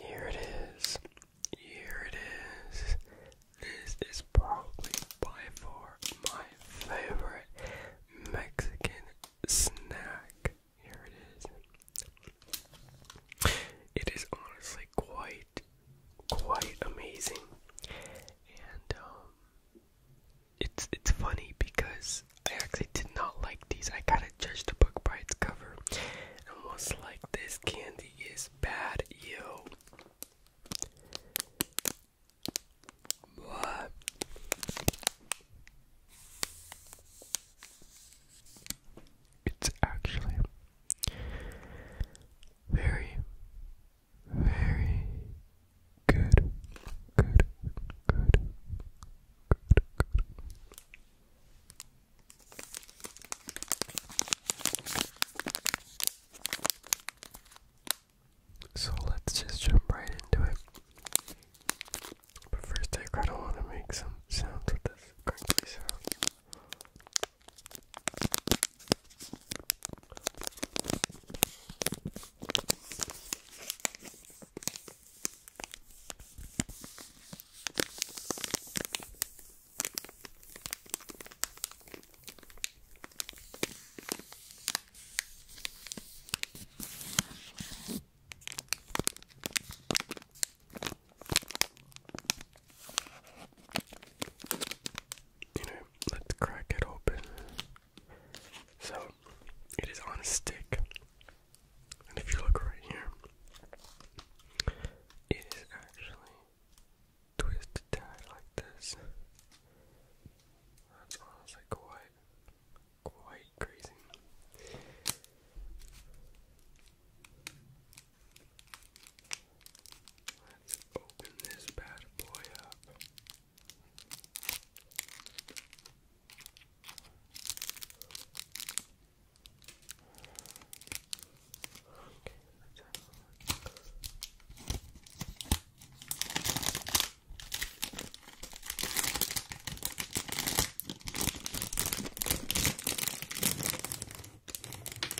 Here it is. Here it is. This is probably by far my favorite Mexican snack. Here it is. It is honestly quite, quite amazing. And, um, it's, it's funny because I actually did not like these. I kind judge the book by its cover. And like this candy is bad, yo. What? It's actually very, very good, good, good, good, good. So let's just jump right into it. But first, I kind of want to make some sounds with this crinkly sound let's crack it open. So, it is on a stick. And if you look right here, it is actually twisted tied like this. That's honestly quite, quite crazy. Let's open this bad boy up.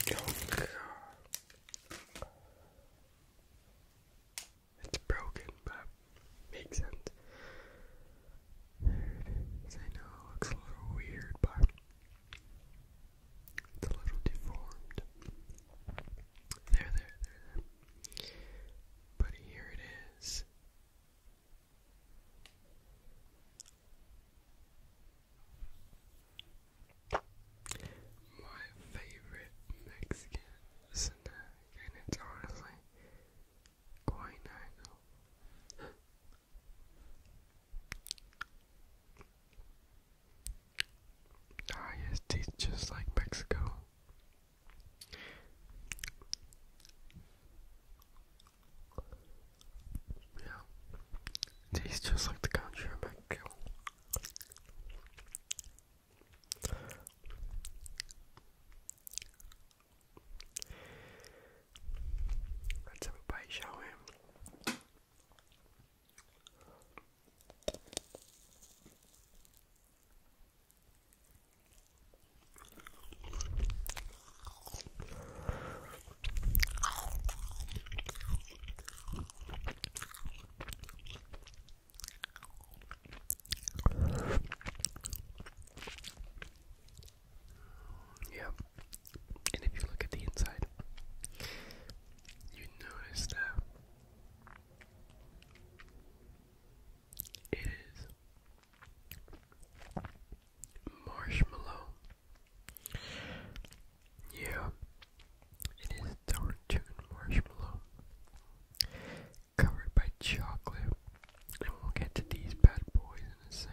God. It's broken, Makes sense. I know it looks a little weird, but it's a little deformed. There, there, there, But here it is. My favorite Mexican and it's honestly Guinago. Ah, yes, tastes just like Mexico. Yeah, tastes just like the country of Mexico. Let's have a bite, shall we? Yep. And if you look at the inside, you notice that it is marshmallow. Yeah, it is dark marshmallow covered by chocolate. And we'll get to these bad boys in a second.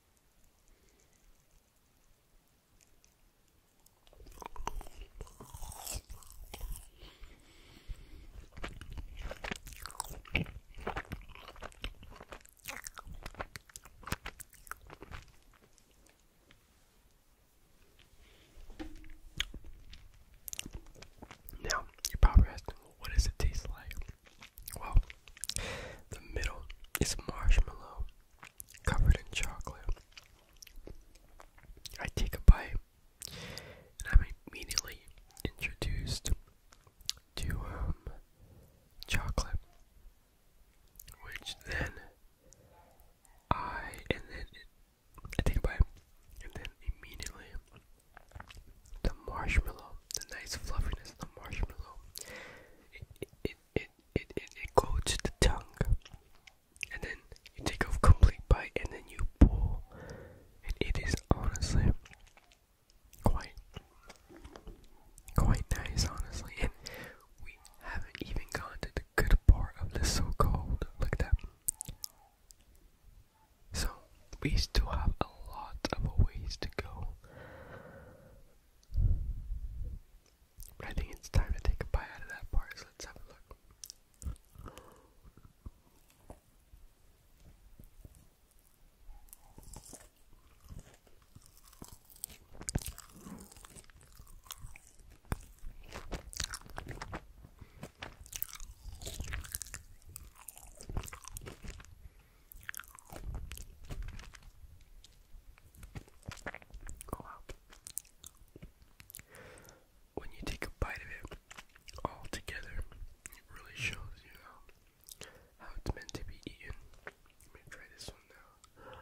Now, you're probably asking, what does it taste like? Well, the middle is marshmallow covered in chocolate. I take a bite, and I'm immediately introduced to um, chocolate, which then I and then it, I take a bite, and then immediately the marshmallow, the nice fluffiness of the marshmallow, it it, it it it it goes to the tongue, and then you take a complete bite, and then you pull, and it is honestly quite quite nice, honestly. And we haven't even gone to the good part of the so-called. Look at that. So, we still have a lot of ways to go. I think it's time to take a bite out of that part, so let's have a look. When you take a bite of it all together, it really shows you how, how it's meant to be eaten. Let me try this one now.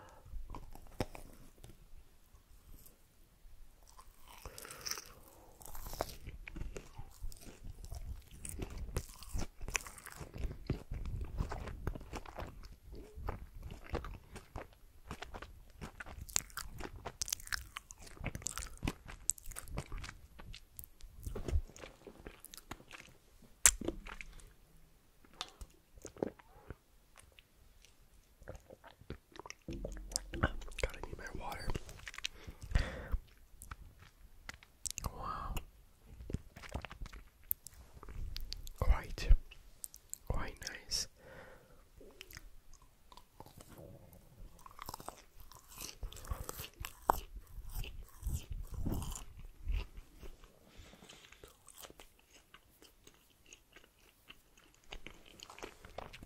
Gotta need my water. Wow. Quite, quite nice.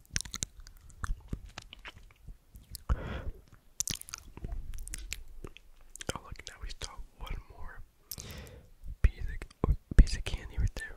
Oh look, now we saw one more piece of, piece of candy right there.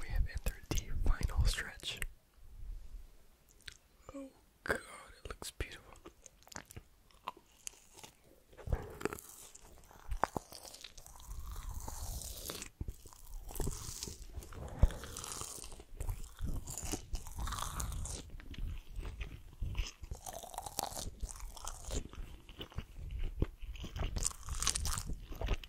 We have entered the final stretch. Oh god, it looks beautiful.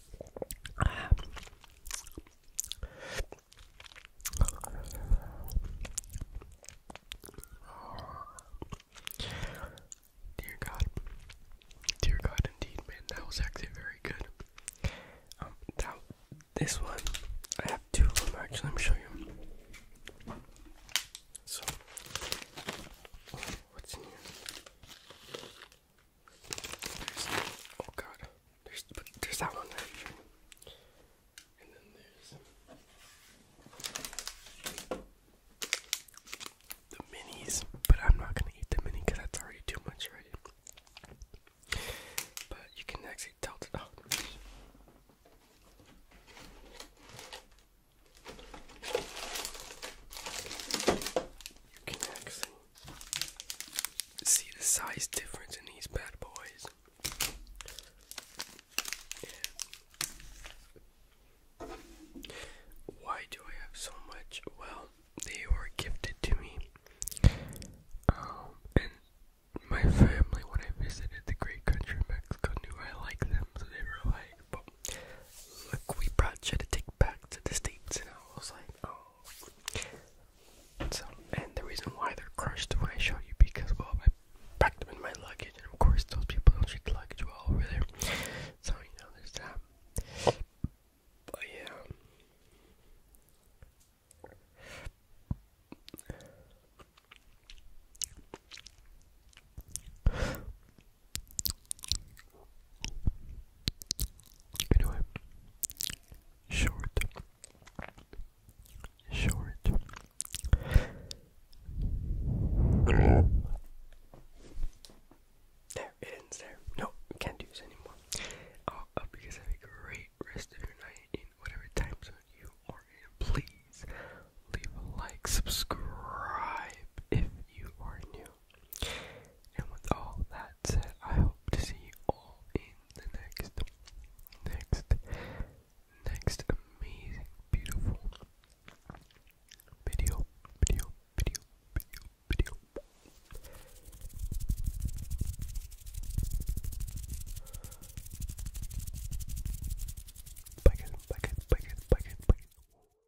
Dear God, dear God, indeed, man, that was actually very good. Um, that this one, I have two of them actually. Let me show you. So, what's in here? There's, oh god, there's, there's that one there. And then there's the minis, but I'm not gonna eat the mini that's already too much already. But you can actually tell see the size difference in these bad boys. why do I have so much? Well, they were gifted to me. Um, and my family, when I visited the great country of Mexico, knew I liked them, so they were like, look, we brought you to take back to the States. And I was like, oh. So, and the reason why they're crushed when I show you, because, well, I packed them in my luggage. And of course, those people don't treat luggage well over there. So, you know, there's that. But yeah. Anyway, short, short. there, it ends there. No, can't do this anymore. I hope you guys have a great rest of your night in whatever time you are in. Please leave a like, subscribe if you are new you. And with all that said, I hope to see you all in the next, next, next amazing, beautiful video, video, video, video, video. Bye guys, bye guys, bye guys, bye guys,